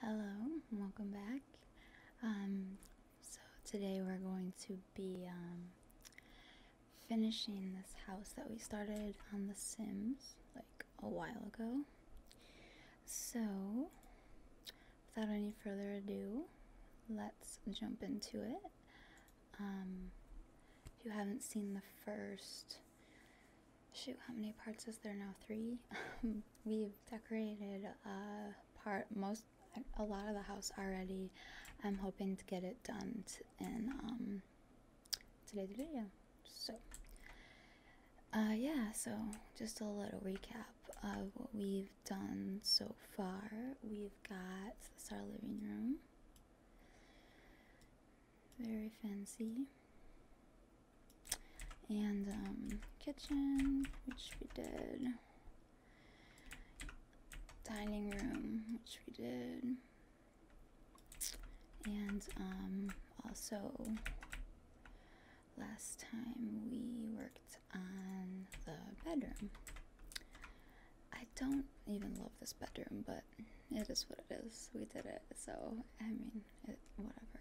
Hello, and welcome back. Um, so today we're going to be um, finishing this house that we started on The Sims like a while ago. So without any further ado, let's jump into it. Um, if you haven't seen the first shoot, how many parts is there now? Three. We've decorated a uh, part, most, a lot of the house already. I'm hoping to get it done in um, today's video. So, uh, yeah, so just a little recap of what we've done so far. We've got this our living room. Very fancy and um, kitchen, which we did, dining room, which we did, and um, also last time we worked on the bedroom. I don't even love this bedroom, but it is what it is. We did it, so I mean, whatever.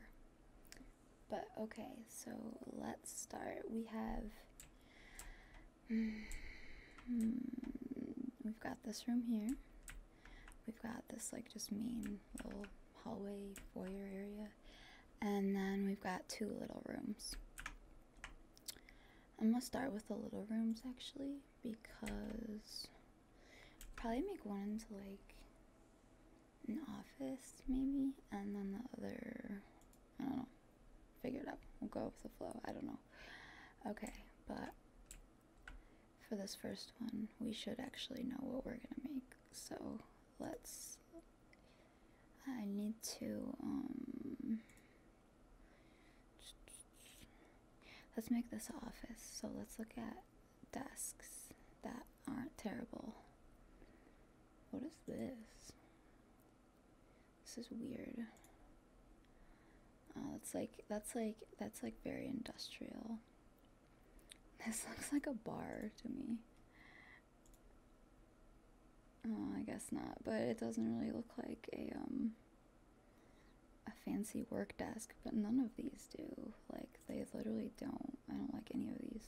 But okay, so let's start. We have. Mm-hmm, we've got this room here. We've got this, like, just mean little hallway foyer area. And then we've got two little rooms. I'm gonna start with the little rooms actually because probably make one into like an office maybe and then the other I don't know figure it out we'll go with the flow I don't know okay but for this first one we should actually know what we're gonna make so let's I need to um let's make this office so let's look at desks that aren't terrible. What is this? This is weird. That's oh, like that's like that's like very industrial. This looks like a bar to me. Oh, I guess not, but it doesn't really look like a um a fancy work desk, but none of these do. Like they literally don't. I don't like any of these.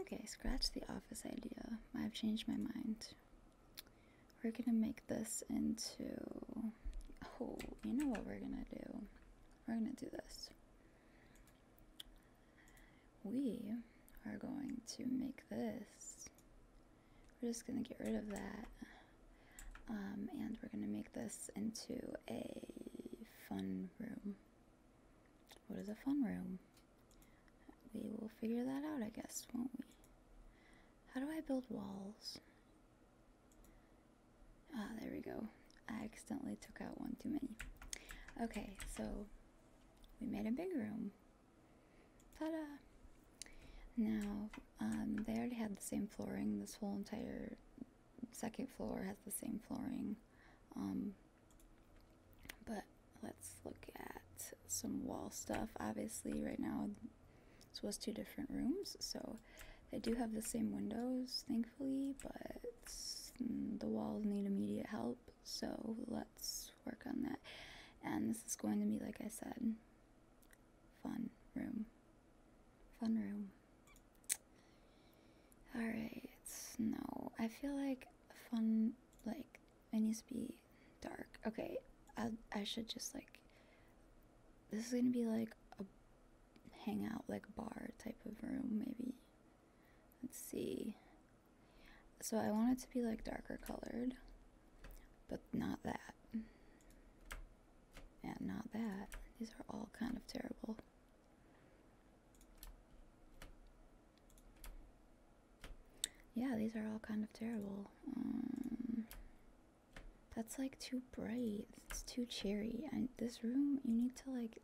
Okay, scratch the office idea. I've changed my mind. We're gonna make this into. Oh, you know what we're gonna do? We're gonna do this. We are going to make this. We're just gonna get rid of that. Um, and we're gonna make this into a fun room. What is a fun room? We will figure that out, I guess, won't we? How do I build walls? Ah, there we go. I accidentally took out one too many. Okay, so we made a big room. Ta-da! Now, um, they already had the same flooring this whole entire second floor has the same flooring. Um, but let's look at some wall stuff. Obviously, right now, this was two different rooms, so they do have the same windows, thankfully, but mm, the walls need immediate help, so let's work on that. And this is going to be, like I said, fun room. Fun room. Alright, no. I feel like fun, like, it needs to be dark. Okay, I, I should just, like, this is gonna be, like, a hangout, like, bar type of room, maybe. Let's see. So I want it to be, like, darker colored, but not that. And not that. These are all kind of terrible. Yeah, these are all kind of terrible. Um, that's like too bright. It's too cheery, And this room, you need to like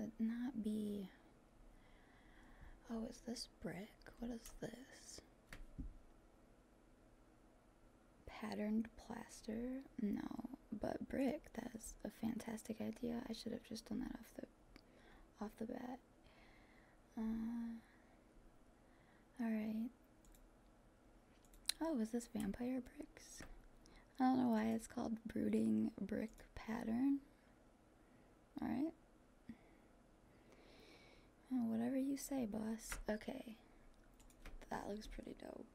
uh, not be. Oh, is this brick? What is this? Patterned plaster. No, but brick, that's a fantastic idea. I should have just done that off the off the bat. Uh, Alright. Oh, is this vampire bricks? I don't know why it's called brooding brick pattern. Alright. Oh, whatever you say, boss. Okay. That looks pretty dope.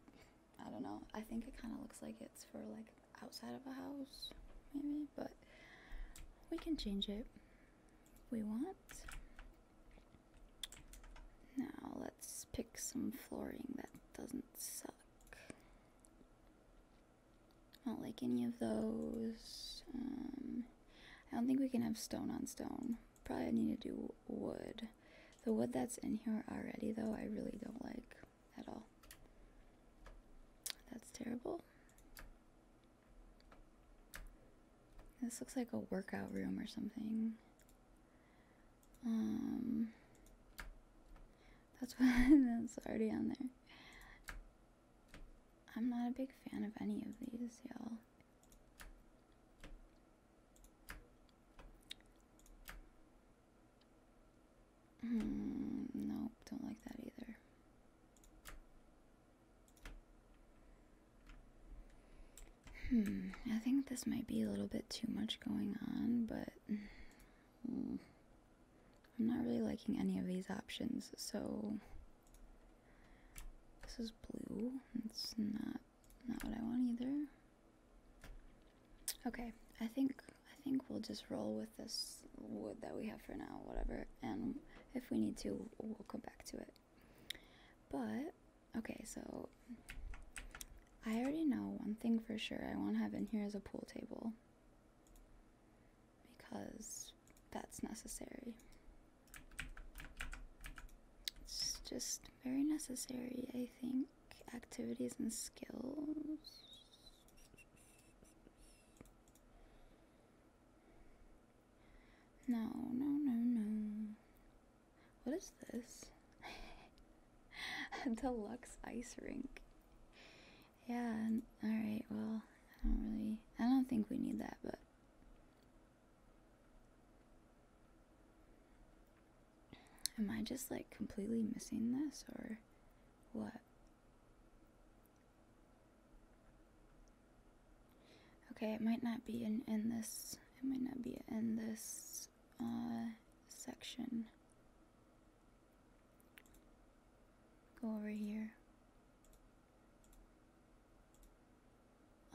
I don't know. I think it kind of looks like it's for like outside of a house, maybe, but we can change it we want. Now let's pick some flooring that doesn't suck. not like any of those. Um, I don't think we can have stone on stone. Probably need to do wood. The wood that's in here already though I really don't like at all. That's terrible. This looks like a workout room or something. Um, that's what that's already on there. I'm not a big fan of any of these, y'all. Um, nope, don't like that either. Hmm, I think this might be a little bit too much going on, but mm, I'm not really liking any of these options, so this is blue. It's not not what I want either. Okay, I think I think we'll just roll with this wood that we have for now, whatever. And if we need to, we'll come back to it. But okay, so I already know one thing for sure. I want to have in here is a pool table because that's necessary. It's just very necessary, I think activities and skills. No, no, no, no. What is this? A deluxe ice rink. Yeah, alright, well, I don't really. I don't think we need that, but. Am I just like completely missing this or what? Okay, it might not be in in this. It might not be in this uh, section. Go over here.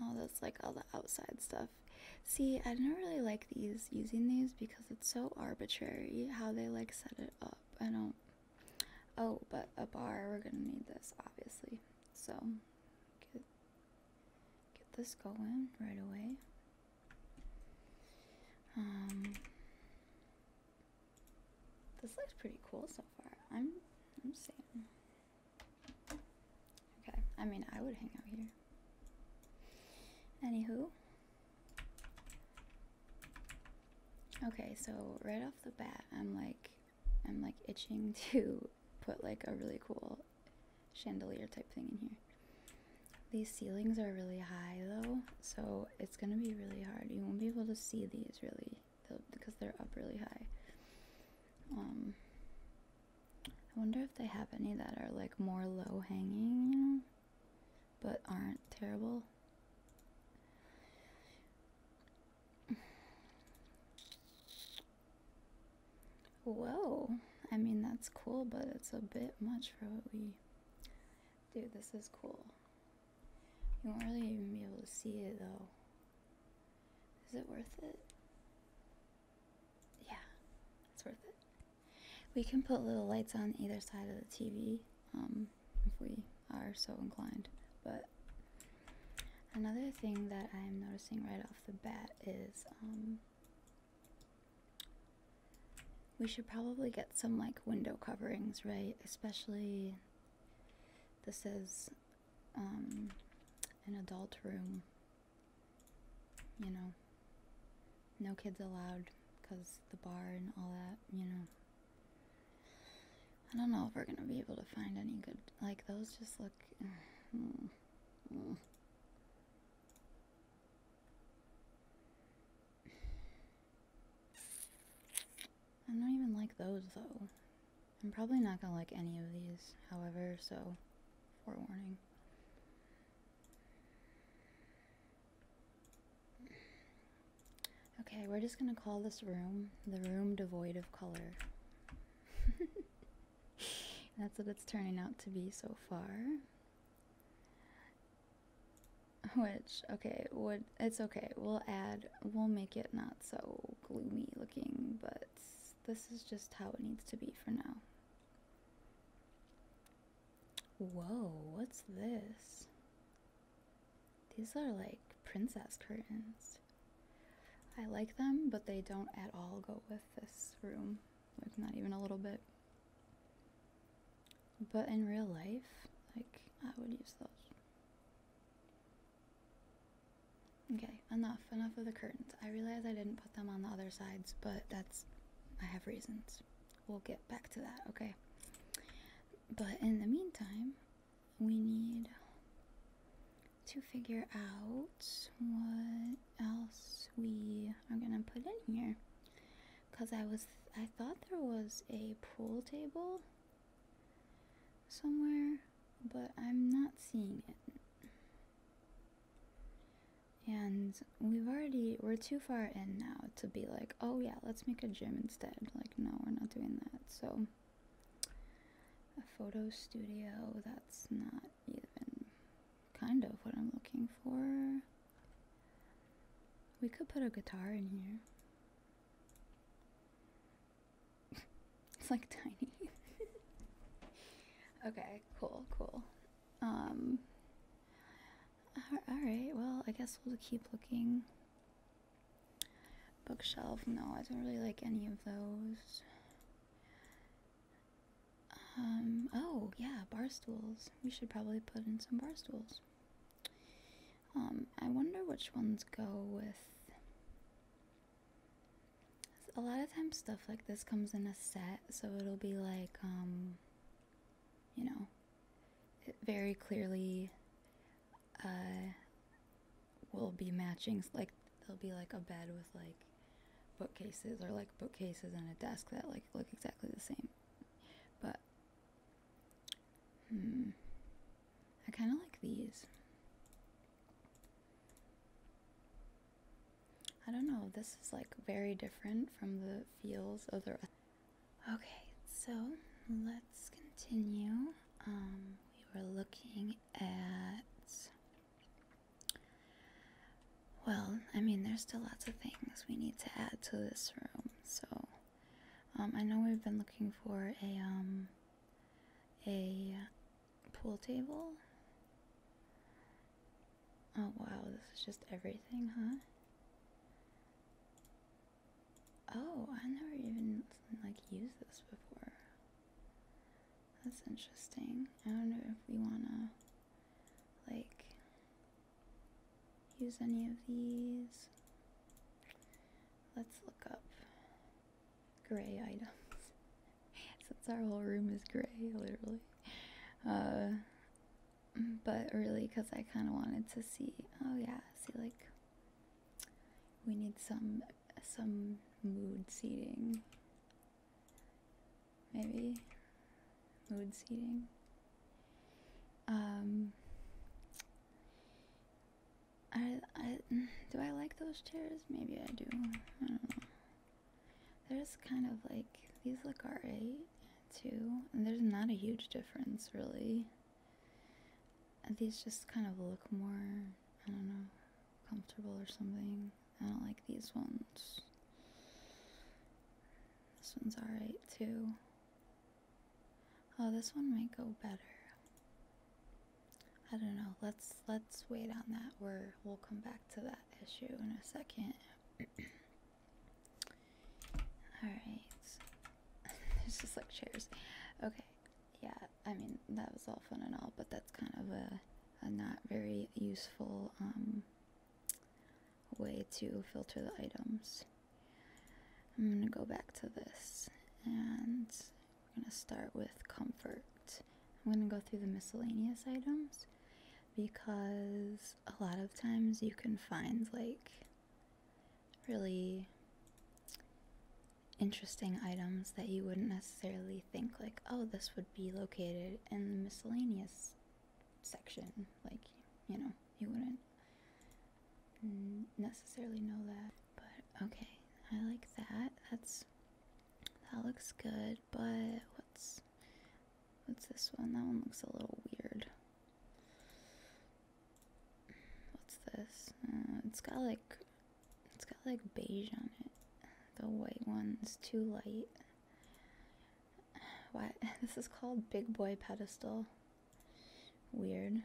Oh, that's like all the outside stuff. See, I don't really like these using these because because it's so arbitrary how they like set it up. I don't. Oh, but a bar. We're gonna need this, obviously. So get get this going right away. Um, this looks pretty cool so far. I'm I'm seeing. Okay, I mean I would hang out here. Anywho, Okay, so right off the bat, I'm like, I'm like itching to put like a really cool chandelier type thing in here. These ceilings are really high though, so it's gonna be really hard. You won't be able to see these really because they're up really high. Um, I wonder if they have any that are like more low hanging, but aren't terrible. Whoa, I mean, that's cool, but it's a bit much for what we do. This is cool. You won't really even be able to see it though. Is it worth it? Yeah, it's worth it. We can put little lights on either side of the TV um, if we are so inclined. But another thing that I'm noticing right off the bat is um, we should probably get some like window coverings, right? Especially this is um, an adult room, you know no kids allowed because the bar and all that, you know. I don't know if we're gonna be able to find any good. Like, those just look. I don't even like those though. I'm probably not gonna like any of these, however, so forewarning. Okay, we're just gonna call this room the room devoid of color. That's what it's turning out to be so far. Which, okay, would it's okay. We'll add, we'll make it not so gloomy looking, but this is just how it needs to be for now. Whoa, what's this? These are like princess curtains. I like them, but they don't at all go with this room. Like, not even a little bit. But in real life, like, I would use those. Okay, enough, enough of the curtains. I realize I didn't put them on the other sides, but that's. I have reasons we'll get back to that, okay? But in the meantime, we need to figure out what else we are gonna put in here. Cause I was, I thought there was a pool table somewhere, but I'm not seeing it and we've already we're too far in now to be like oh yeah let's make a gym instead like no we're not doing that so a photo studio that's not even kind of what i'm looking for we could put a guitar in here it's like tiny okay cool cool um Alright, well, I guess we'll keep looking. Bookshelf, no, I don't really like any of those. Um, oh, yeah, bar stools. We should probably put in some bar stools. Um, I wonder which ones go with. A lot of times, stuff like this comes in a set, so it'll be like, um, you know, very clearly uh, will be matching like there'll be like a bed with like bookcases or like bookcases and a desk that like look exactly the same but hmm i kind of like these i don't know this is like very different from the feels of the Okay, so let's continue. Um, we were looking at. Well, I mean, there's still lots of things we need to add to this room, so. Um, I know we've been looking for a, um, a pool table Oh wow, this is just everything, huh? Oh, I never even like used this before. That's interesting. I wonder if we wanna like use any of these. Let's look up gray items. Since our whole room is gray, literally. Uh but really because I kind of wanted to see oh yeah see like we need some some mood seating maybe mood seating um I, I do I like those chairs maybe I do I don't know they're just kind of like these look alright too, and there's not a huge difference really. Uh, these just kind of look more, I don't know, comfortable or something. I don't like these ones. This one's alright too. Oh, this one might go better. I don't know. Let's let's wait on that. We're we'll come back to that issue in a second. Alright. There's just like chairs. Okay. Yeah, I mean, that was all fun and all, but that's kind of a, a not very useful um, way to filter the items. I'm going to go back to this and we're going to start with comfort. I'm going to go through the miscellaneous items because a lot of times you can find like really interesting items that you wouldn't necessarily think like oh this would be located in the miscellaneous section like you know you wouldn't necessarily know that but okay i like that that's that looks good but what's what's this one that one looks a little weird What's this? Uh, it's got like it's got like beige on it. The white one's too light. What? This is called Big Boy Pedestal. Weird.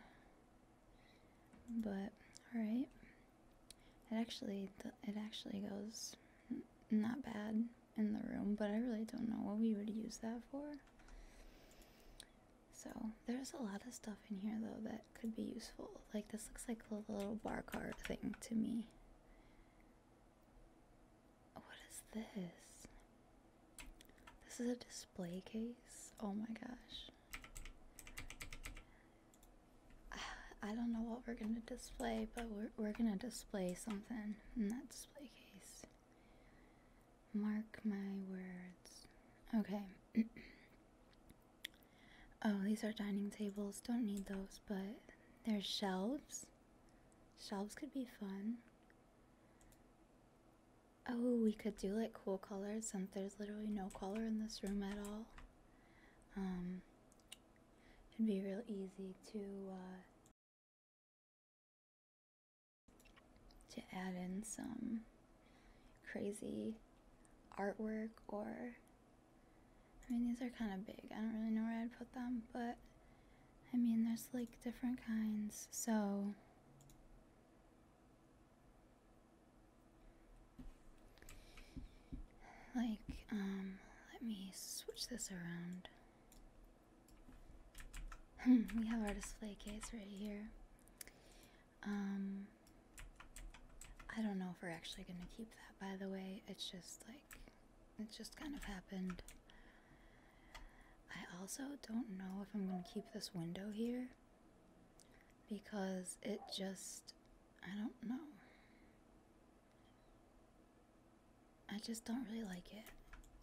But all right. It actually it actually goes not bad in the room, but I really don't know what we would use that for. So, there's a lot of stuff in here though that could be useful. Like, this looks like a little bar cart thing to me. What is this? This is a display case. Oh my gosh. I don't know what we're gonna display, but we're, we're gonna display something in that display case. Mark my words. Okay. oh, these are dining tables. Don't need those, but there's shelves. Shelves could be fun. Oh, we could do like cool colors since there's literally no color in this room at all. Um, it'd be real easy to uh, to add in some crazy artwork or I mean these are kind of big. I don't really know where I'd put them, but I mean there's like different kinds. So like um let me switch this around. Hmm, we have our display case right here. Um, I don't know if we're actually going to keep that, by the way. It's just like, it just kind of happened. I also don't know if I'm going to keep this window here because it just, I don't know. I just don't really like it.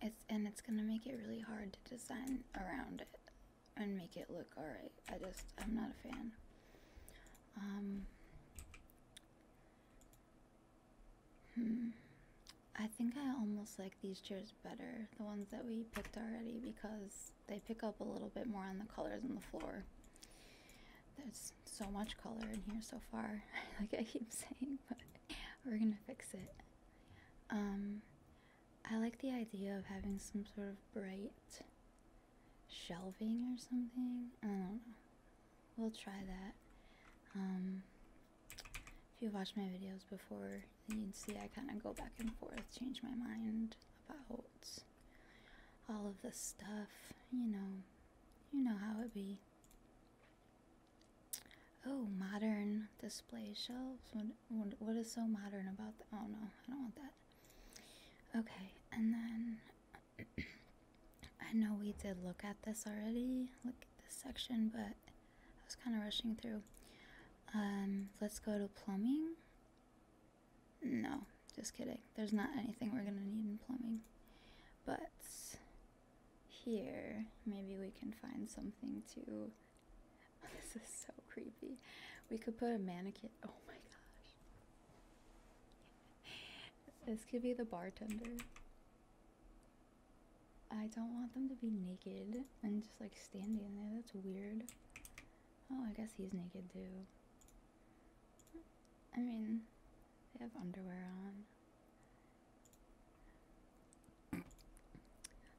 It's and it's gonna make it really hard to design around it and make it look alright. I just I'm not a fan. Um Hmm. I think I almost like these chairs better, the ones that we picked already, because they pick up a little bit more on the colors on the floor. There's so much color in here so far, like I keep saying, but we're gonna fix it. Um, I like the idea of having some sort of bright shelving or something. I don't know. We'll try that. Um, if you watched my videos before, you'd see I kind of go back and forth, change my mind about all of this stuff. You know, you know how it be. Oh, modern display shelves. What, what is so modern about that? Oh no, I don't want that. Okay, and then I know we did look at this already. Look at this section, but I was kind of rushing through. Um, let's go to plumbing. No, just kidding. There's not anything we're gonna need in plumbing, but here. Maybe we can find something too. Oh, this is so creepy. We could put a mannequin. Oh my gosh. This could be the bartender. I don't want them to be naked and just like standing there. That's weird. Oh, I guess he's naked too. I mean, they have underwear on.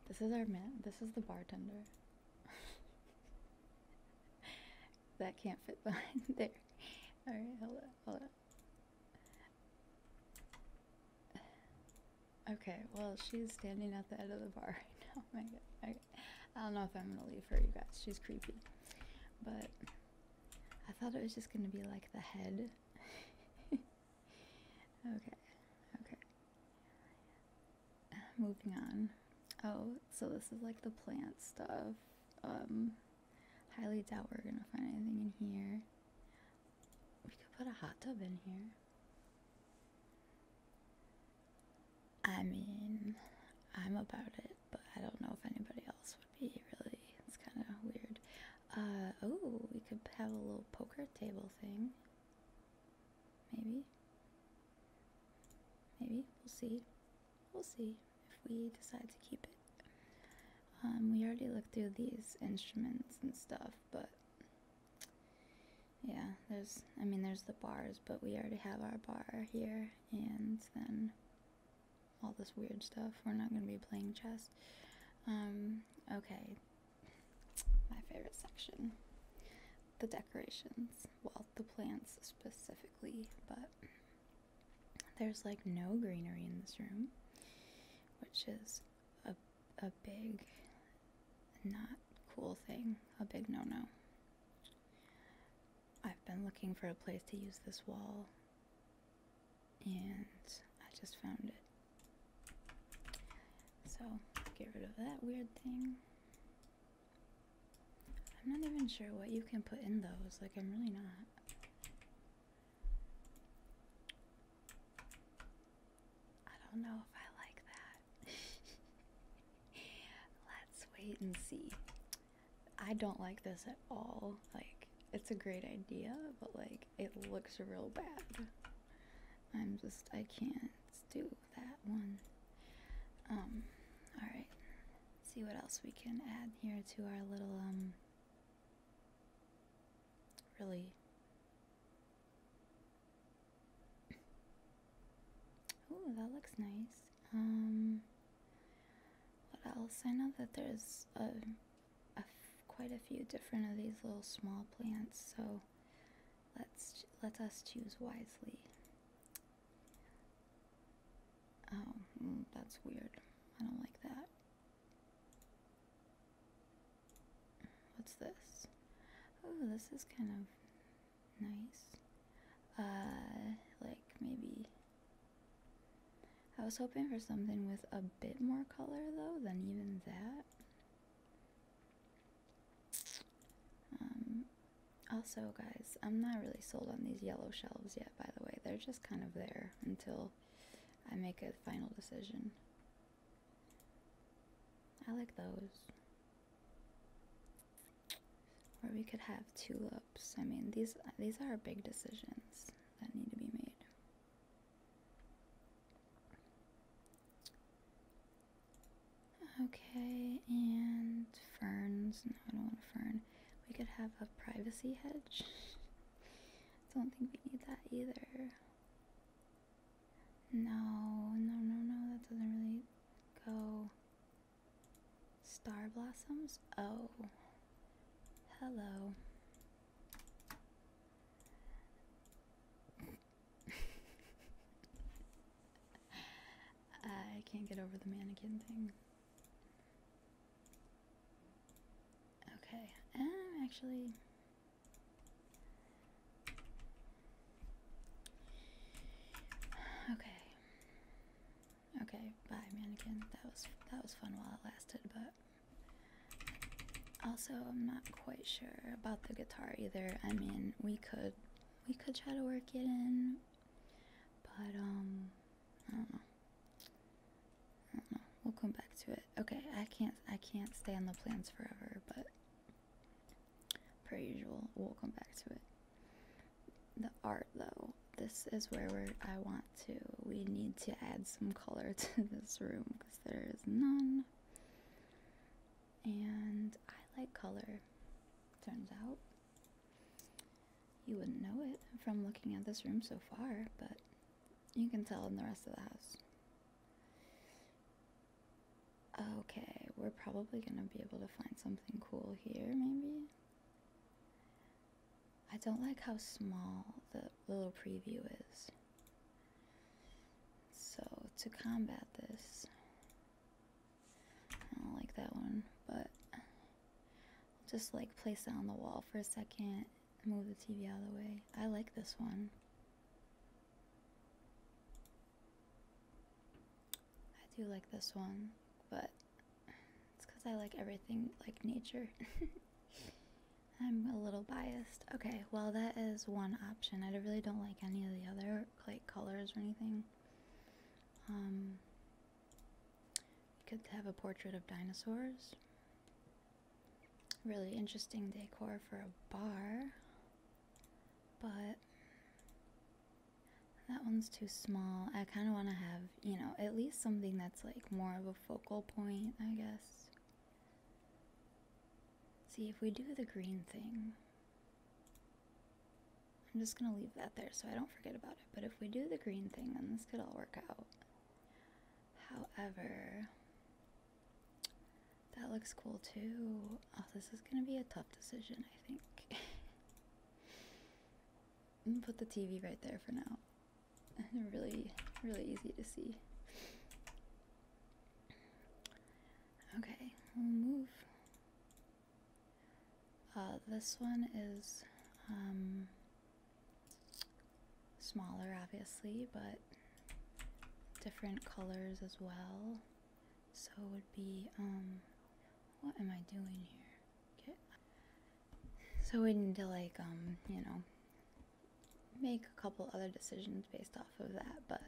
This is our man. This is the bartender. that can't fit behind there. Alright, hold up, hold up. Okay, well, she's standing at the end of the bar right now. Oh my god. I don't know if I'm gonna leave her, you guys. She's creepy. But I thought it was just gonna be like the head. Okay, okay. Moving on. Oh, so this is like the plant stuff. Um, highly doubt we're gonna find anything in here. We could put a hot tub in here. I mean, I'm about it, but I don't know if anybody else would be really. It's kind of weird oh, we could have a little poker table thing. Maybe. Maybe. We'll see. We'll see if we decide to keep it. Um, we already looked through these instruments and stuff, but yeah, there's, I mean, there's the bars, but we already have our bar here, and then all this weird stuff. We're not going to be playing chess. Um, okay, my favorite section the decorations. Well, the plants specifically, but there's like no greenery in this room, which is a, a big, not cool thing, a big no no. I've been looking for a place to use this wall and I just found it. So get rid of that weird thing. I'm not even sure what you can put in those, like, I'm really not. I don't know if I like that. Let's wait and see. I don't like this at all. Like, it's a great idea, but like, it looks real bad. I'm just I can't do that one. Um, all see what else we can add here to our little um really Ooh, that looks nice. Um, what else? I know that there's a quite a few different of these little small plants, so let's let us choose wisely. Oh, mm, that's weird. I don't like that. What's this? Oh, this is kind of nice. Uh, like maybe. I was hoping for something with a bit more color though than even that. Um, also, guys, I'm not really sold on these yellow shelves yet, by the way. They're just kind of there until I make a final decision. I like those. Or we could have tulips. I mean, these these are big decisions that need to be made. Okay, and ferns. No, I don't want a fern. We could have a privacy hedge. don't think we need that either. No, no, no, no, that doesn't really go. Star blossoms? Oh. Hello. I can't get over the mannequin thing. Okay, um, actually. Okay. Okay, bye mannequin. That was that was fun while it lasted, but also, I'm not quite sure about the guitar either. I mean, we could we could try to work it in, but um, I don't know. We'll come back to it. Okay, I can't I can't stay on the plans forever, but per usual, we'll come back to it. The art though, this is where I want to. We need to add some color to this room because there is none. And I like color, turns out. You wouldn't know it from looking at this room so far, but you can tell in the rest of the house. Okay, we're probably gonna be able to find something cool here, maybe? I don't like how small the little preview is. So to combat this, I don't like that one, but just like place it on the wall for a second, move the TV out of the way. I like this one. I do like this one, but it's because I like everything like nature. I'm a little biased. Okay, well that is one option. I really don't like any of the other like colors or anything. Um could have a portrait of dinosaurs. Really interesting decor for a bar. But that one's too small. I kind of want to have, you know, at least something that's like more of a focal point, I guess. See, if we do the green thing, I'm just going to leave that there so I don't forget about it. But if we do the green thing, then this could all work out. However, that looks cool too. Oh, this is going to be a tough decision, I think. I'm gonna put the TV right there for now. really, really easy to see. Okay, we'll move. Uh, this one is um, smaller, obviously, but different colors as well. So it would be, um, what am I doing here? Okay. So we need to like, um, you know, make a couple other decisions based off of that, but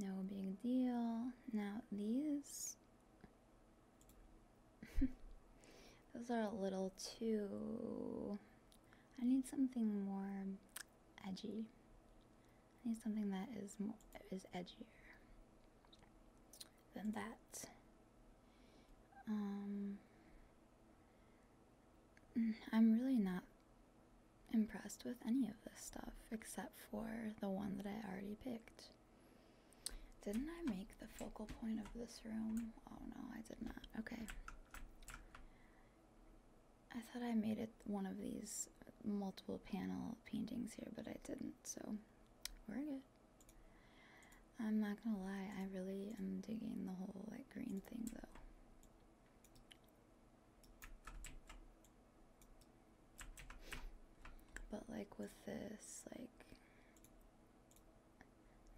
no big deal. Now, these. Those are a little too. I need something more edgy. I need something that is more, is edgier than that. Um, Mm, I'm really not impressed with any of this stuff except for the one that I already picked. Didn't I make the focal point of this room? Oh no, I did not. Okay. I thought I made it one of these multiple panel paintings here, but I didn't, so we're good. I'm not gonna lie, I really am digging the whole like green thing though. But like with this, like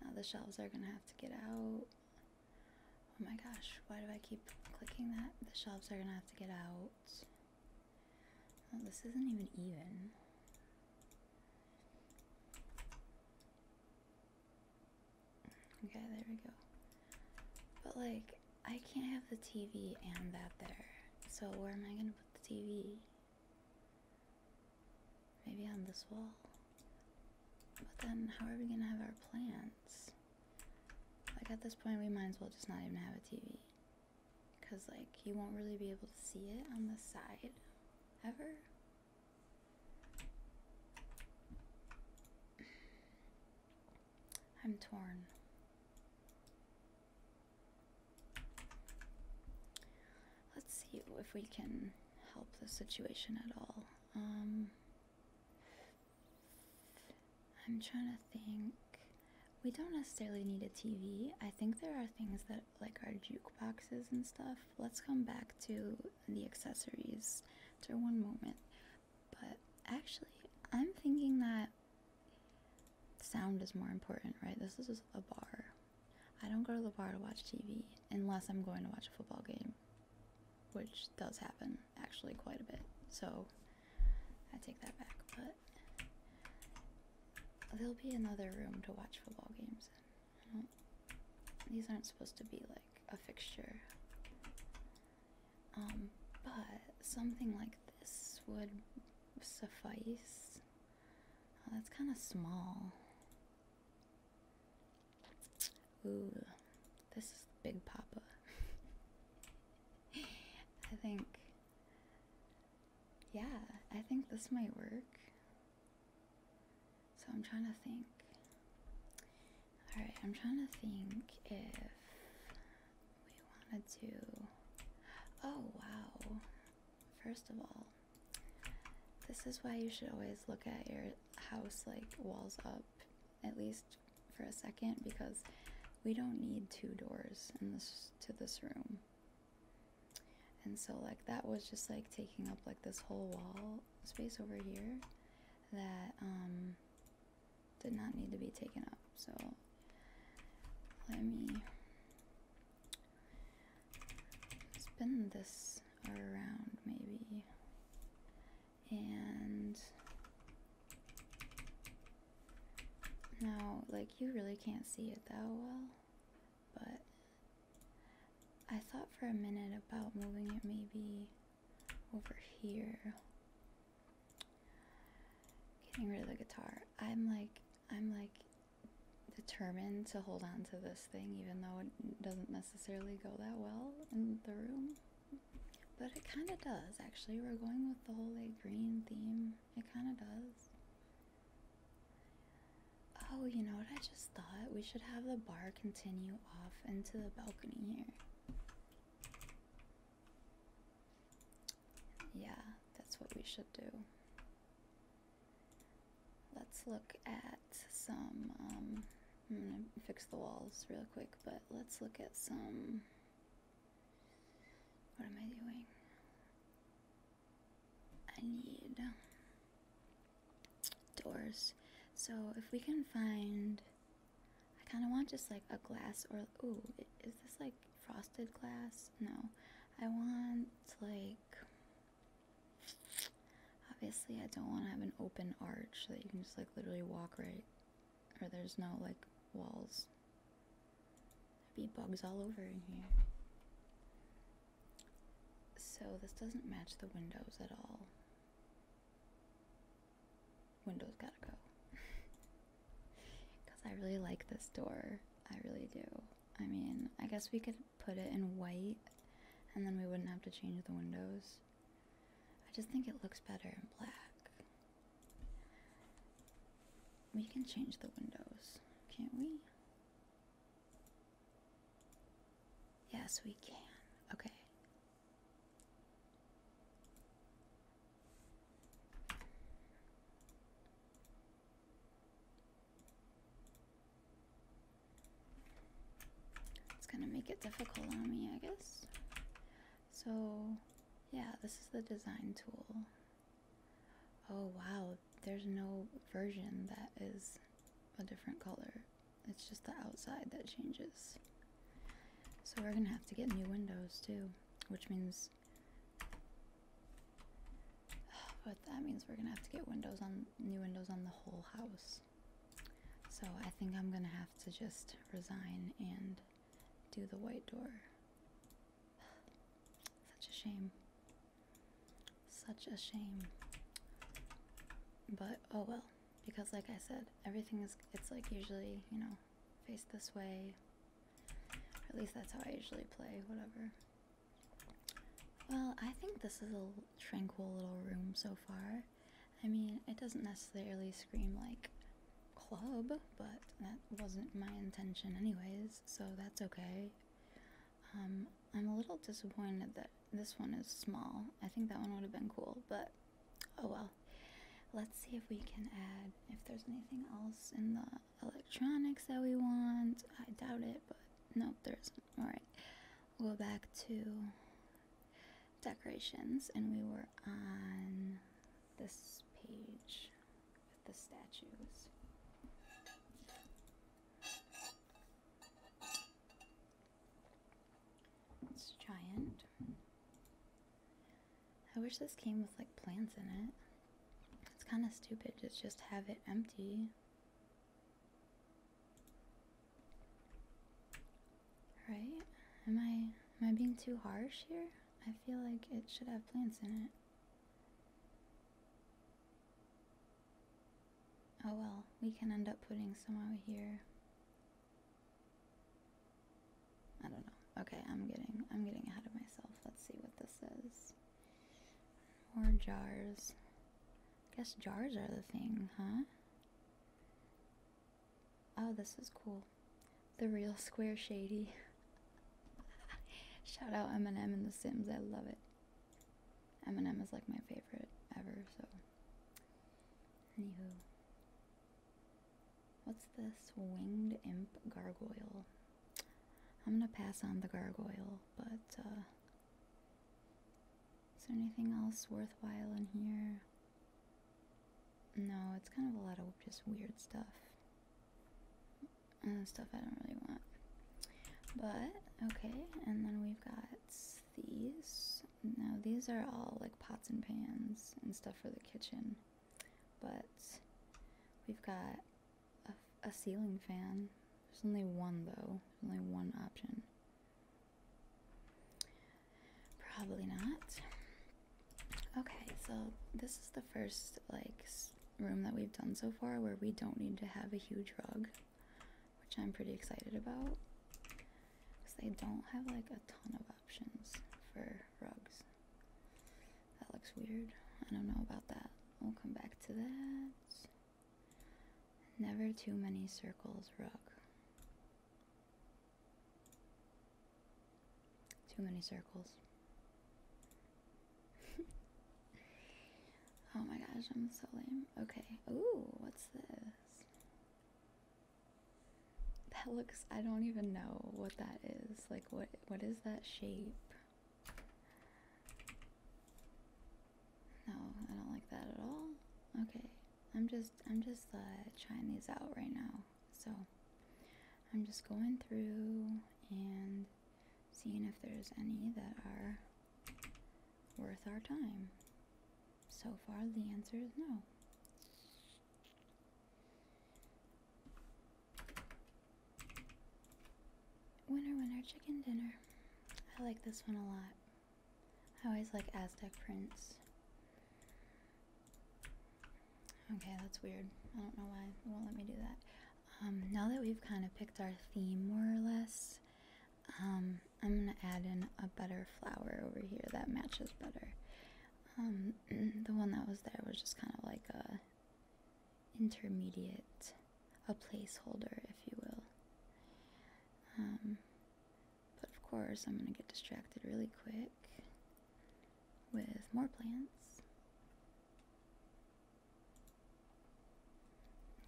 now the shelves are gonna have to get out. Oh my gosh, why do I keep clicking that? The shelves are gonna have to get out. Oh, this isn't even even. Okay, there we go. But like, I can't have the TV and that there. So where am I gonna put the TV? Maybe on this wall? But then how are we gonna have our plants? Like at this point we might as well just not even have a TV. Cause like you won't really be able to see it on the side ever. I'm torn. Let's see if we can help the situation at all. Um, I'm trying to think. We don't necessarily need a TV. I think there are things that, like our jukeboxes and stuff. Let's come back to the accessories for one moment. But actually, I'm thinking that sound is more important, right? This is a bar. I don't go to the bar to watch TV unless I'm going to watch a football game, which does happen actually quite a bit. So I take that back. But there'll be another room to watch football games These aren't supposed to be like a fixture. Um, but something like this would suffice. Uh, that's kind of small. Ooh, this is Big Papa. I think, yeah, I think this might work. So I'm trying to think. Alright, I'm trying to think if we want to do. Oh, wow. First of all, this is why you should always look at your house like walls up, at least for a second, because we don't need two doors in this to this room. And so like that was just like taking up like this whole wall space over here that um, did not need to be taken up. So let me spin this around maybe and now like you really can't see it that well but I thought for a minute about moving it maybe over here. Getting rid of the guitar. I'm like, I'm like determined to hold on to this thing even though it doesn't necessarily go that well in the room. But it kind of does, actually. We're going with the whole like green theme. It kind of does. Oh, you know what I just thought? We should have the bar continue off into the balcony here. Yeah, that's what we should do. Let's look at some. Um, I'm gonna fix the walls real quick, but let's look at some. What am I doing? I need doors. So if we can find, I kind of want just like a glass or ooh, is this like frosted glass? No, I want like. Obviously, I don't want to have an open arch that you can just like literally walk right, or there's no like walls. There'd be bugs all over in here. So this doesn't match the windows at all. Windows gotta go. Because I really like this door. I really do. I mean, I guess we could put it in white and then we wouldn't have to change the windows. I just think it looks better in black. We can change the windows, can't we? Yes, we can. Okay. It's gonna make it difficult on me, I guess. So, yeah, this is the design tool. Oh wow, there's no version that is a different color. It's just the outside that changes. So we're gonna have to get new windows too, which means. But that means we're gonna have to get windows on new windows on the whole house. So I think I'm gonna have to just resign and do the white door. Such a shame. Such a shame. But oh well because like I said, everything is it's like usually, you know, face this way. at least that's how I usually play, whatever. Well, I think this is a tranquil little room so far. I mean, it doesn't necessarily scream like club, but that wasn't my intention anyways, so that's okay. Um, I'm a little disappointed that this one is small. I think that one would have been cool, but oh well. Let's see if we can add if there's anything else in the electronics that we want. I doubt it, but nope, there isn't. Alright, we'll go back to decorations, and we were on this page with the statues. It's giant. I wish this came with like plants in it. It's kind of stupid to just have it empty. Right? Am I am I being too harsh here? I feel like it should have plants in it. Oh well, we can end up putting some out here. I don't know. Okay, I'm getting I'm getting ahead of myself. Let's see what this is. More jars. guess jars are the thing, huh? Oh, this is cool. The real Square Shady. Shout out Eminem and The Sims. I love it. Eminem is like my favorite ever, so. Anywho. What's this? Winged imp gargoyle. I'm gonna pass on the gargoyle, but uh is there anything else worthwhile in here? No, it's kind of a lot of just weird stuff. And uh, stuff I don't really want. But, okay, and then we've got these. Now these are all like pots and pans and stuff for the kitchen, but we've got a, ceiling fan. There's only one though, only one option. Probably not. Okay, so this is the first like room that we've done so far where we don't need to have a huge rug, which I'm pretty excited about because they don't have like a ton of options for rugs. That looks weird. I don't know about that. We'll come back to that. Never too many circles rug. Too many circles. oh my gosh, I'm so lame. Okay. Ooh, what's this? That looks I don't even know what that is. Like what what is that shape? No, I don't like that at all. Okay. I'm just I'm just uh trying these out right now. So I'm just going through and seeing if there's any that are worth our time. So far, the answer is no. Winner, winner, chicken dinner. I like this one a lot. I always like Aztec prints. Okay, that's weird. I don't know why it won't let me do that. Um, now that we've kind of picked our theme more or less, um, I'm gonna add in a butter flower over here that matches better. Um, the one that was there was just kind of like a intermediate, a placeholder, if you will. Um, but of course, I'm gonna get distracted really quick with more plants.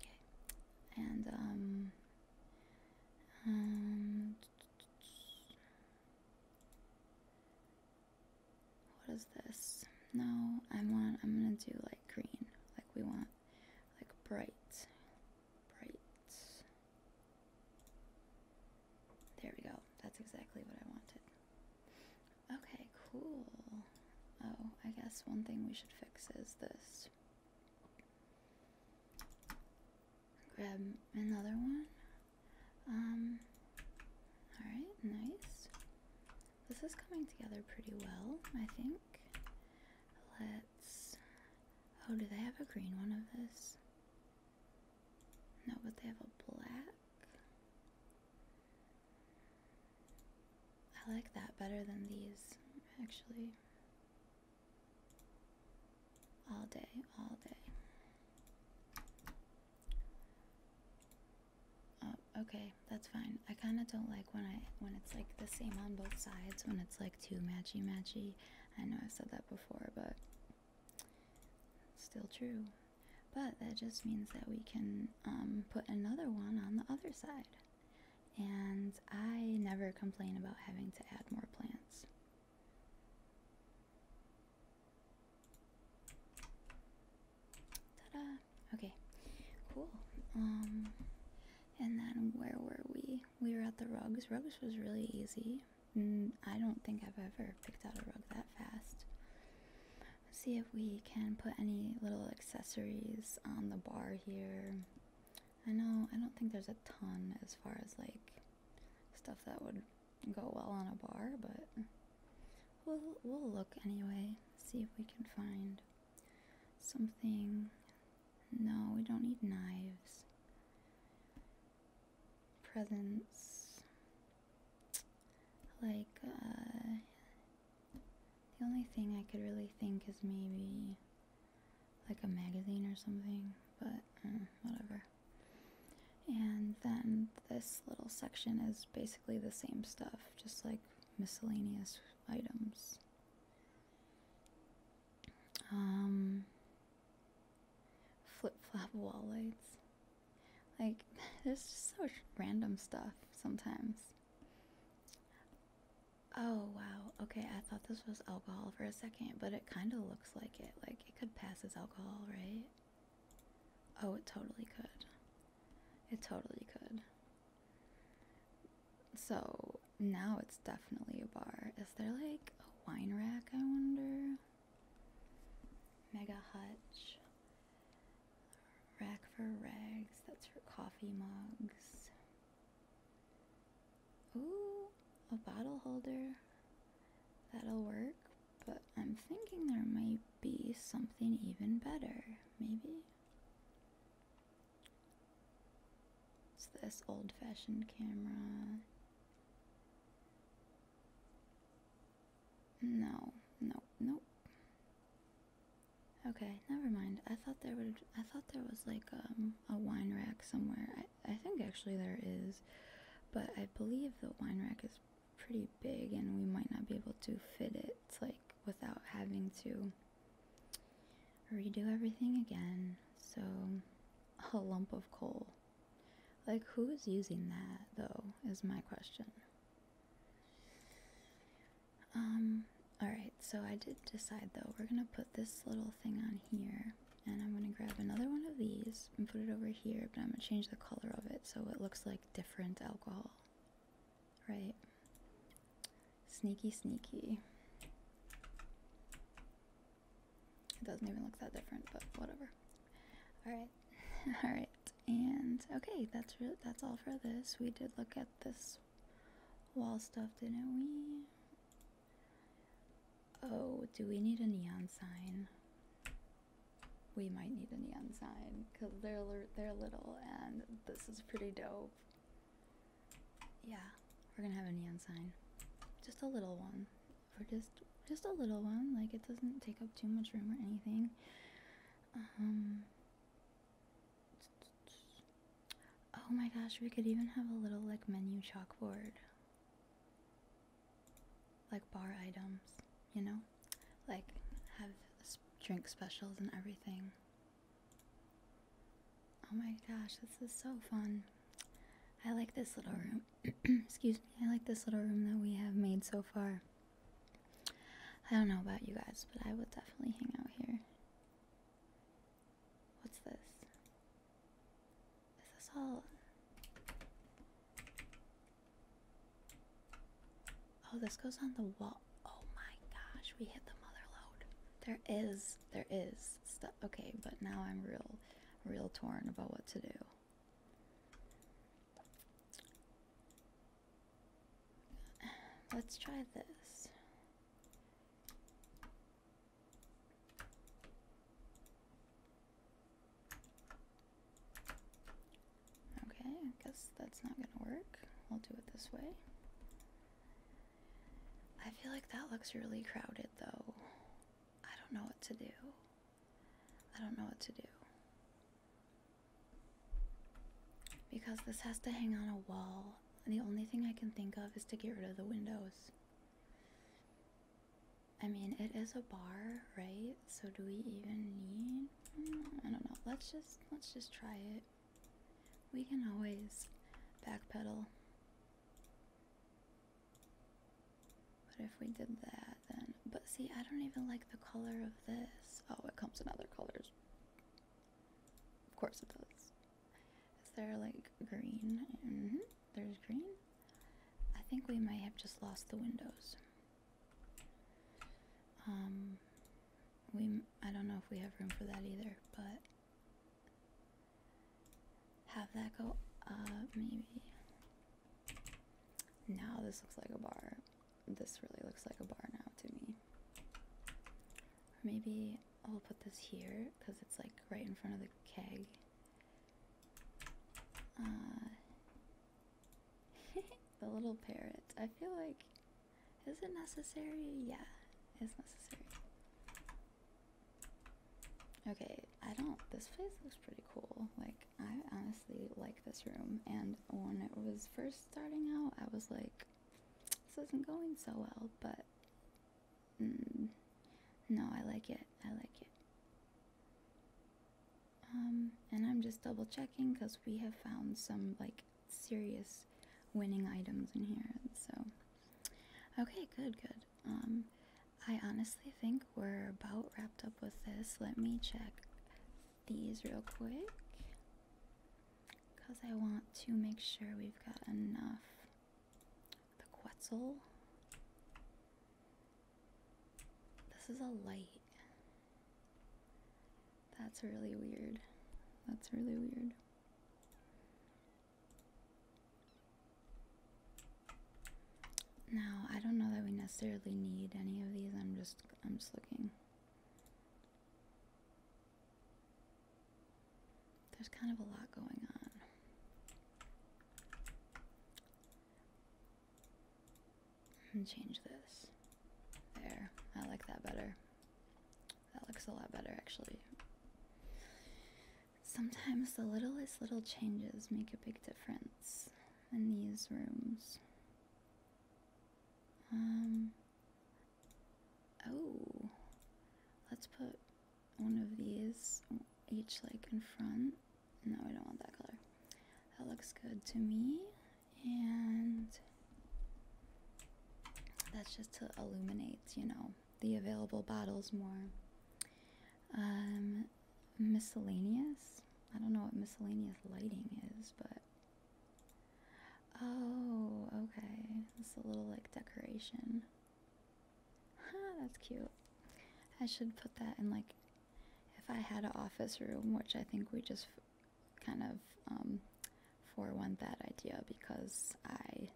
Okay, and um, um what is this? No, I want. I'm gonna do like green. Like we want, like bright, bright. There we go. That's exactly what I wanted. Okay, cool. Oh, I guess one thing we should fix is this. Grab another one. Um, Alright, nice. This is coming together pretty well, I think. Let's. Oh, do they have a green one of this? No, but they have a black. I like that better than these, actually. All day, all day. Oh, okay, that's fine. I kind of don't like when I when it's like the same on both sides. When it's like too matchy matchy. I know I've said that before, but still true. But that just means that we can um, put another one on the other side. And I never complain about having to add more plants. Okay, cool. Um, and then where were we? We were at the rugs. Rugs was really easy. I don't think I've ever picked out a rug that fast. Let's see if we can put any little accessories on the bar here. I know, I don't think there's a ton as far as like stuff that would go well on a bar, but we'll, we'll look anyway, see if we can find something. No, we don't need knives. Presents. Like, uh, the only thing I could really think is maybe like a magazine or something, but mm, whatever. And then this little section is basically the same stuff, just like miscellaneous items. Um, flip flop wall lights. Like, there's just so random stuff sometimes. Oh, wow. Okay, I thought this was alcohol for a second, but it kind of looks like it. Like, it could pass as alcohol, right? Oh, it totally could. It totally could. So now it's definitely a bar. Is there like a wine rack, I wonder? Mega Hutch. Rack for rags, that's for coffee mugs. Oh, a bottle holder. That'll work, but I'm thinking there might be something even better, maybe? It's this old fashioned camera. No, no, nope. Okay, never mind. I thought there would I thought there was like um, a wine rack somewhere. I, think actually there is, but I believe the wine rack is pretty big and we might not be able to fit it like without having to redo everything again. So a lump of coal. Like who's using that though is my question. Um all right, so I did decide though we're going to put this little thing on here and I'm going to grab another one of these and put it over here, but I'm going to change the color of it so it looks like different alcohol. Right? Sneaky, sneaky. It doesn't even look that different, but whatever. Alright. Alright. And okay, that's that's all for this. We did look at this wall stuff, didn't we? Oh, do we need a neon sign? We might need a neon sign because they're they're little and this is pretty dope. Yeah, we're gonna have a neon sign, just a little one, or just just a little one. Like it doesn't take up too much room or anything. Um, oh my gosh, we could even have a little like menu chalkboard like bar items, you know, like have drink specials and everything. Oh my gosh, this is so fun. I like this little room. Excuse me. I like this little room that we have made so far. I don't know about you guys, but I will definitely hang out here. What's this? This all. Oh, this goes on the wall. Oh my gosh, we hit the mother load. There is, there is stuff. Okay, but now I'm real, real torn about what to do. Let's try this. Okay, I guess that's not gonna work. I'll do it this way. I feel like that looks really crowded though. I don't know what to do. I don't know what to do. Because this has to hang on a wall, and the only thing I can think of is to get rid of the windows. I mean, it is a bar, right? So do we even need? I don't know. Let's just let's just try it. We can always backpedal. But if we did that, then but see, I don't even like the color of this. Oh, it comes in other colors. Of course it does. Is there like green? Mm-hmm. There's green. I think we might have just lost the windows. Um, we I don't know if we have room for that either, but have that go up maybe. Now this looks like a bar. This really looks like a bar now to me. maybe I'll put this here because it's like right in front of the keg. Uh, the little parrot. I feel like, is it necessary? Yeah, it's necessary. Okay, I don't. This place looks pretty cool. Like, I honestly like this room. And when it was first starting out, I was like, this isn't going so well, but Mm. no, I like it. I like it. Um, and I'm just double checking because we have found some like serious winning items in here. So, okay, good, good. Um, I honestly think we're about wrapped up with this. Let me check these real quick because I want to make sure we've got enough the Quetzal. This is a light. That's really weird. That's really weird. Now, I don't know that we necessarily need any of these. I'm just I'm just looking. There's kind of a lot going on. And change this. There. I like that better. That looks a lot better, actually. Sometimes the littlest little changes make a big difference in these rooms. Um. Oh. Let's put one of these each like in front. No, I don't want that color. That looks good to me. And that's just to illuminate, you know, the available bottles more. Um, miscellaneous. I don't know what miscellaneous lighting is, but oh, okay. It's a little like decoration. That's cute. I should put that in like if I had an office room, which I think we just kind of um, forewent that idea because I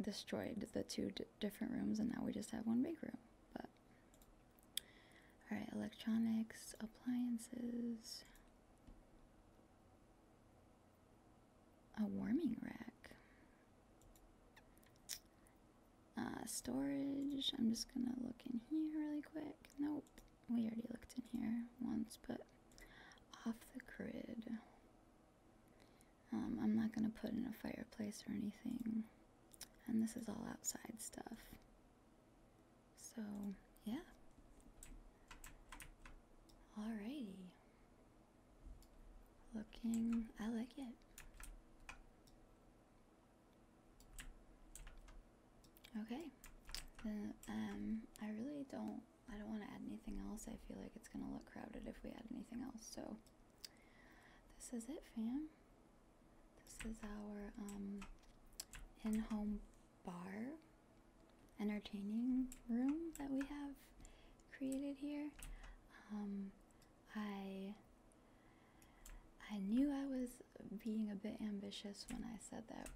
destroyed the two different rooms and now we just have one big room. But all right, electronics, appliances, a warming rack. Uh, storage. I'm just gonna look in here really quick. Nope, we already looked in here once, but off the grid. Um, I'm not gonna put in a fireplace or anything. And this is all outside stuff. So, yeah. Alrighty. Looking, I like it. Okay, uh, um, I really don't, I don't want to add anything else. I feel like it's gonna look crowded if we add anything else. So, this is it, fam. This is our um, in-home bar, entertaining room that we have created here. Um, I I knew I was being a bit ambitious when I said that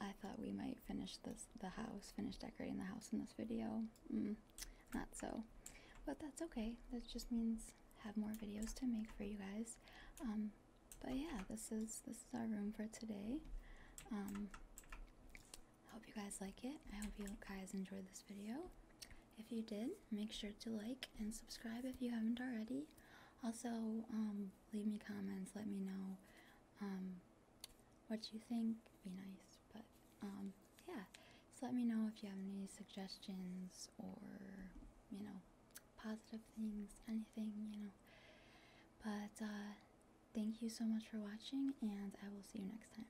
I thought we might finish this the house, finish decorating the house in this video. Mm, not so, but that's okay. That just means have more videos to make for you guys. Um, but yeah, this is this is our room for today. Um, hope you guys like it. I hope you guys enjoyed this video. If you did, make sure to like and subscribe if you haven't already. Also, um, leave me comments, let me know um, what you think. Be nice, but um, yeah. just let me know if you have any suggestions or you know positive things, anything you know. But uh, thank you so much for watching, and I will see you next time.